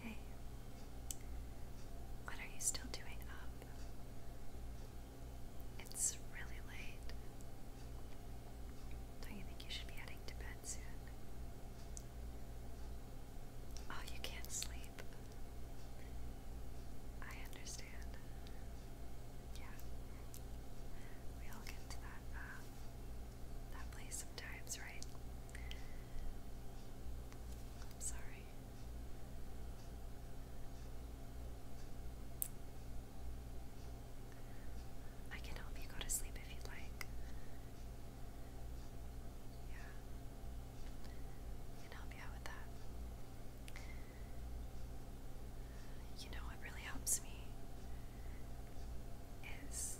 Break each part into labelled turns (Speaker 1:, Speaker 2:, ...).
Speaker 1: Hey, what are you still doing up? It's really late. Don't you think you should be heading to bed soon? Oh, you can't sleep. I understand. Yeah. We all get to that uh, that place sometimes, right? I'm sorry. I can help you go to sleep if you'd like. Yeah. can help you out with that. You know what really helps me is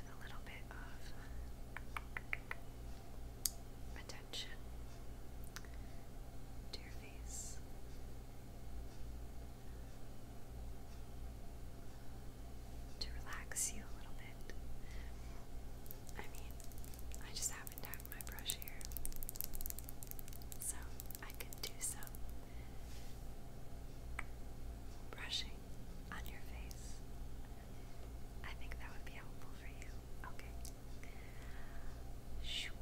Speaker 1: a little bit of attention to your face. To relax you a little bit. I mean, I just haven't my brush here. So I could do some brushing on your face. I think that would be
Speaker 2: helpful for you. Okay. shoop,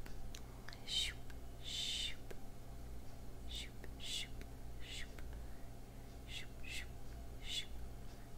Speaker 2: shoop, shoop, shoop, shoop, shoop, shoop, shoop, shoop,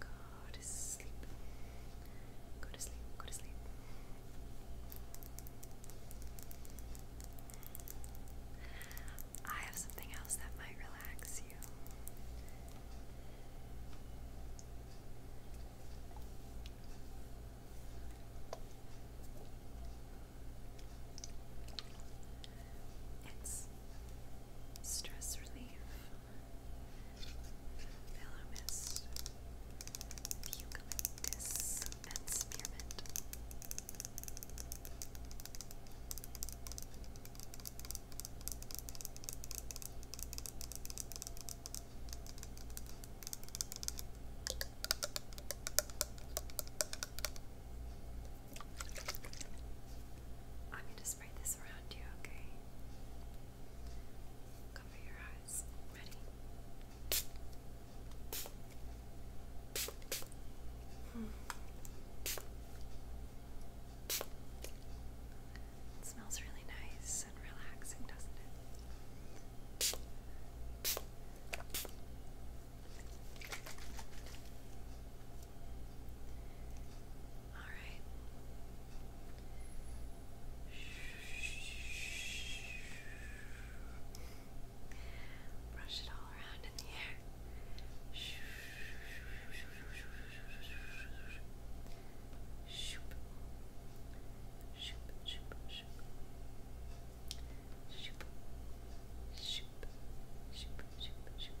Speaker 1: Go to sleep. Go to sleep. Go to sleep. I have something else that might relax you. It's stress relief. Valor Mist, and Spearmint. I'm going spray this around you, okay? Cover your eyes. Ready? Hmm. It smells really nice and relaxing, doesn't it? All right. Brush
Speaker 2: it all around in the air. Shoop. Shoop, shoop, shoop. Shoop. Shoop, shoop, shoop, shoop.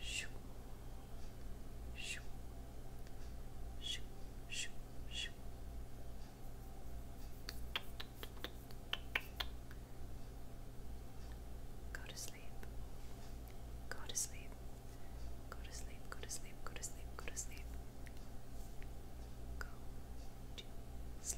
Speaker 2: Shoo. Shoo. Shoo. Shoo. Shoo. Go to sleep. Go to sleep. Go to sleep. Go
Speaker 1: to sleep. Go to sleep. Go to sleep. Go to sleep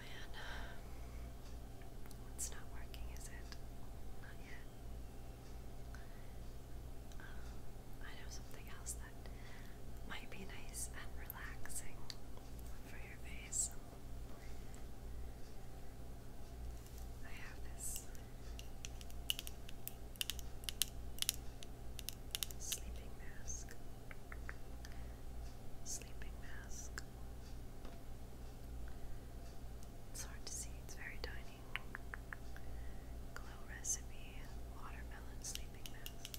Speaker 1: man. It's not working, is it? Not yet. Um, I know something else that might be nice and relaxing for your face. I have this sleeping mask. Sleeping mask. It's hard to see, it's very tiny. Glow recipe, watermelon sleeping mask.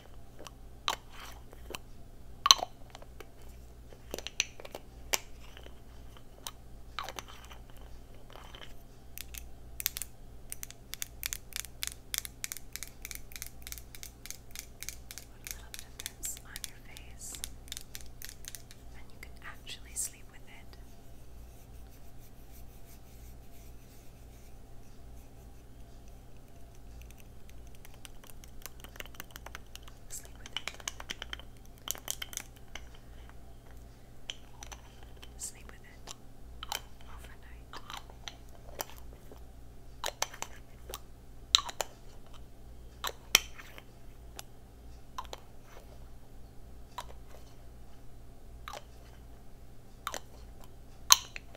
Speaker 1: What a little difference on your face, and you can actually sleep with it. Sleep with it. Sleep with it. Overnight. Sleep with it.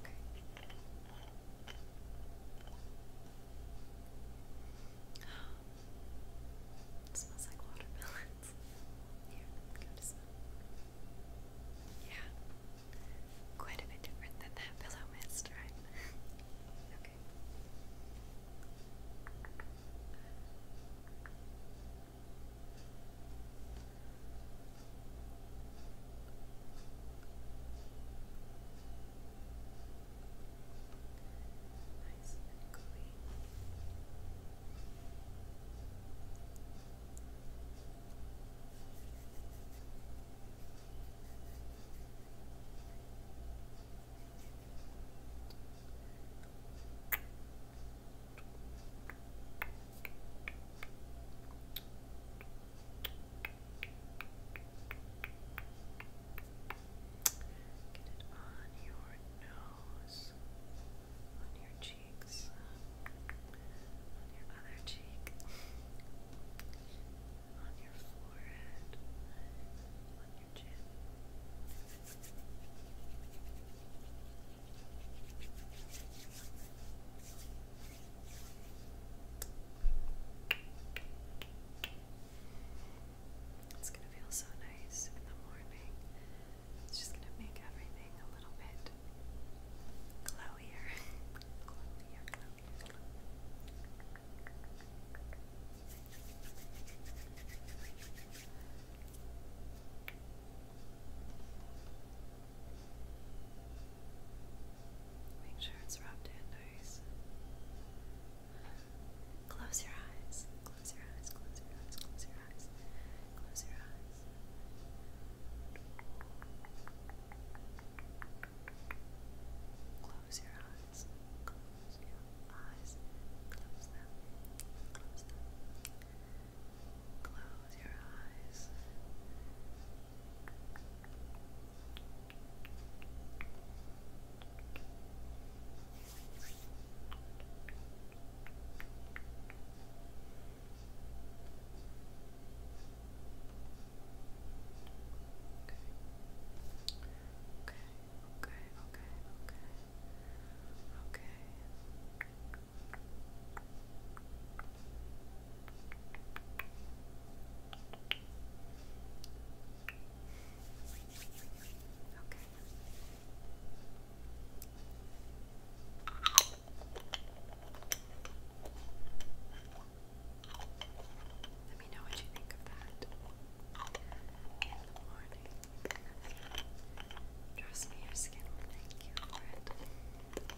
Speaker 1: Okay. it smells like watermelons. Here, go to Yeah. Quite a bit different than that pillow mist, right? okay. Nice and clean. Good. Get it on your nose, on your cheeks, on your other cheek, on your forehead, on your chin. It's going to feel so nice in the morning. It's just going to make everything a little bit glowier. glowier, Make sure it's rubbed in nice. Close your eyes. Close your eyes. Close your eyes. Close your eyes. Close your eyes. Close your eyes. Close your eyes. Close them. Close them. Close your eyes. Okay, okay, okay, okay, okay. Okay. Let me know what you think of that in the morning. Trust me, your skin will thank you for it.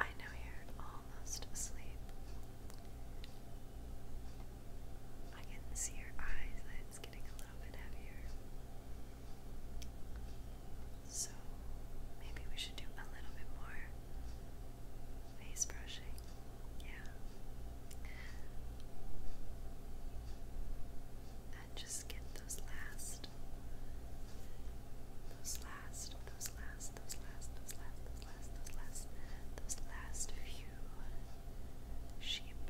Speaker 1: I know you're almost asleep. I can see your eyes, it's getting a little bit heavier. So maybe we should do a little bit more face brushing. Yeah. And just get those last, those last, those last, those last, those last, last, those last, those last few sheep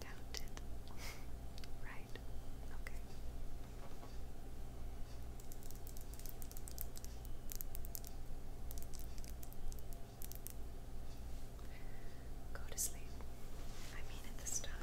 Speaker 1: counted, right? Okay. Go to sleep. I mean it this time.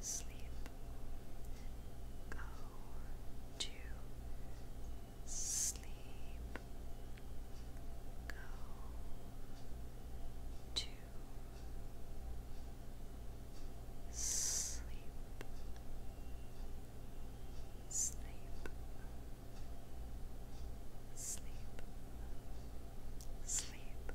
Speaker 1: sleep. Go to sleep. Go to sleep.
Speaker 2: Sleep. Sleep. Sleep